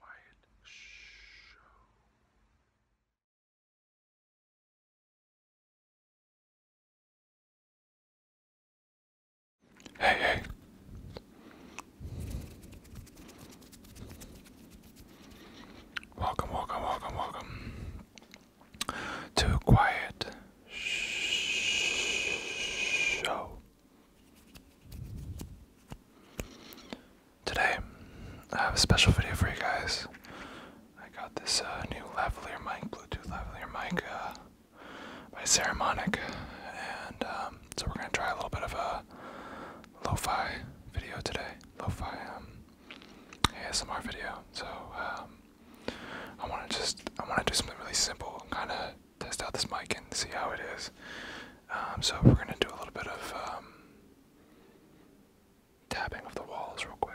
Quiet hey. Welcome, welcome, welcome, welcome to Quiet Show. Today, I have a special video for you guys. I got this uh, new lavalier mic, Bluetooth lavalier mic uh, by Ceramonic, and um, so we're gonna try a little bit of a lo video today, lofi um, ASMR video. So um, I want to just I want to do something really simple, kind of test out this mic and see how it is. Um, so we're gonna do a little bit of um, tapping of the walls real quick.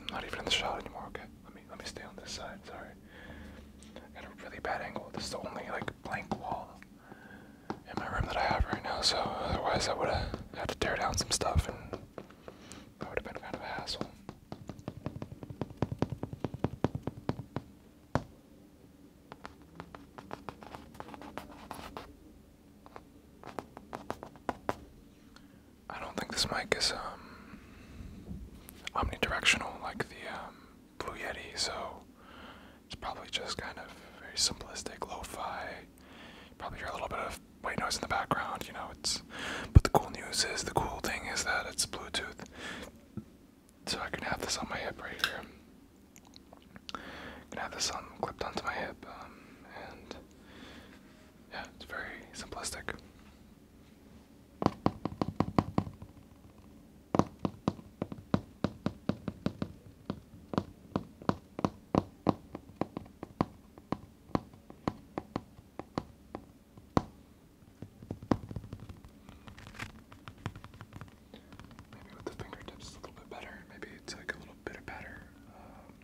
I'm not even in the shot anymore. Okay, let me let me stay on this side. Sorry, I got a really bad angle. This is the only like blank wall in my room that I have right now. So otherwise, I would have had to tear down some stuff, and that would have been kind of a hassle. I don't think this mic is um, omnidirectional like the um, Blue Yeti, so it's probably just kind of very simplistic, lo-fi. You probably hear a little bit of white noise in the background. You know, it's but the cool news is, the cool thing is that it's Bluetooth. So I can have this on my hip right here. can have this on clipped onto my hip, um, and yeah, it's very simplistic. Maybe with the fingertips a little bit better. Maybe it's like a little bit of um,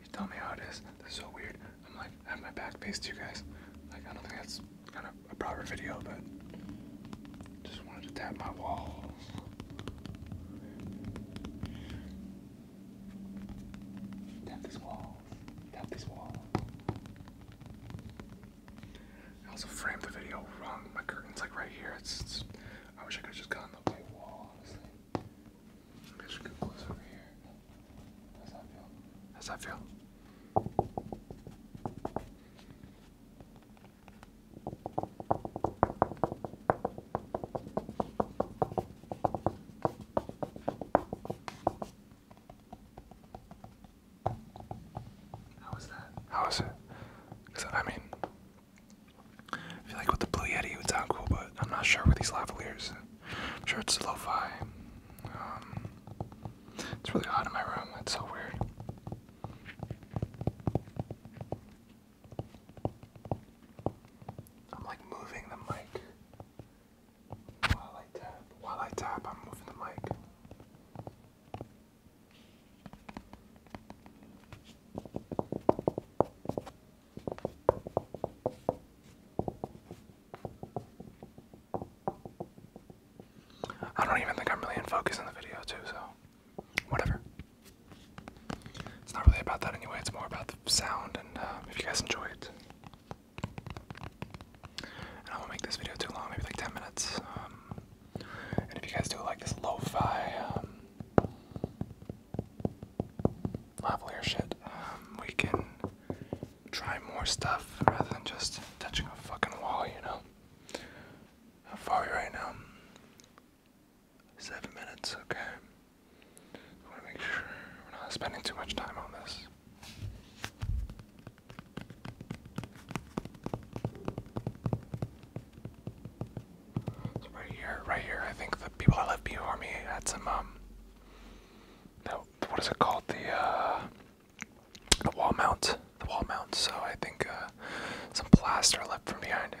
you tell me how it is. This is so weird. I'm like, I have my back faced to you guys. Like, I don't think that's kind of a proper video, but just wanted to tap my wall. Tap walls. Tap walls. I also framed the video wrong. My curtain's like right here. It's, I wish I could just just on the white wall, honestly. Maybe I close over here. How's that feel? How was that? How it? I mean, feel like with the Blue Yeti it would sound cool, but I'm not sure with these lavaliers. sure it's lo-fi. Um, it's really hot in my room. That's so weird. I'm like moving the mic. While I tap, while I tap, I'm moving the mic. I don't even think I'm really in focus in the video too, so whatever. It's not really about that anyway, it's more about the sound and uh, if you guys enjoy it. And I won't make this video too long, maybe like 10 minutes. Um, and if you guys do like this lo fi, um, shit, um, we can try more stuff rather than just touching a fucking wall, you know? How far are we right now? Seven minutes, okay. I want to make sure we're not spending too much time on this. right here, right here, I think the people that left before me had some, um, the, what is it called? The, uh, the wall mount the wall mount, so I think uh, some plaster left from behind it.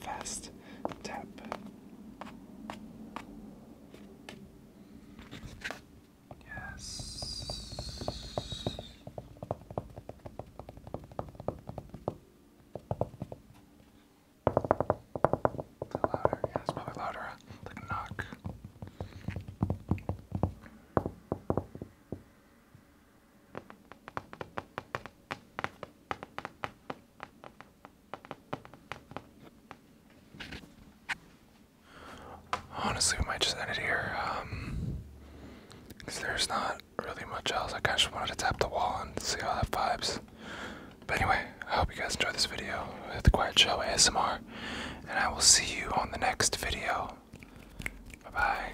fast tap. Yes. yeah, it's probably louder. The uh, knock. Honestly, we might just end it here. Um, cause there's not really much else. I kind of just wanted to tap the wall and see how that vibes. But anyway, I hope you guys enjoyed this video with the Quiet Show ASMR, and I will see you on the next video. Bye bye.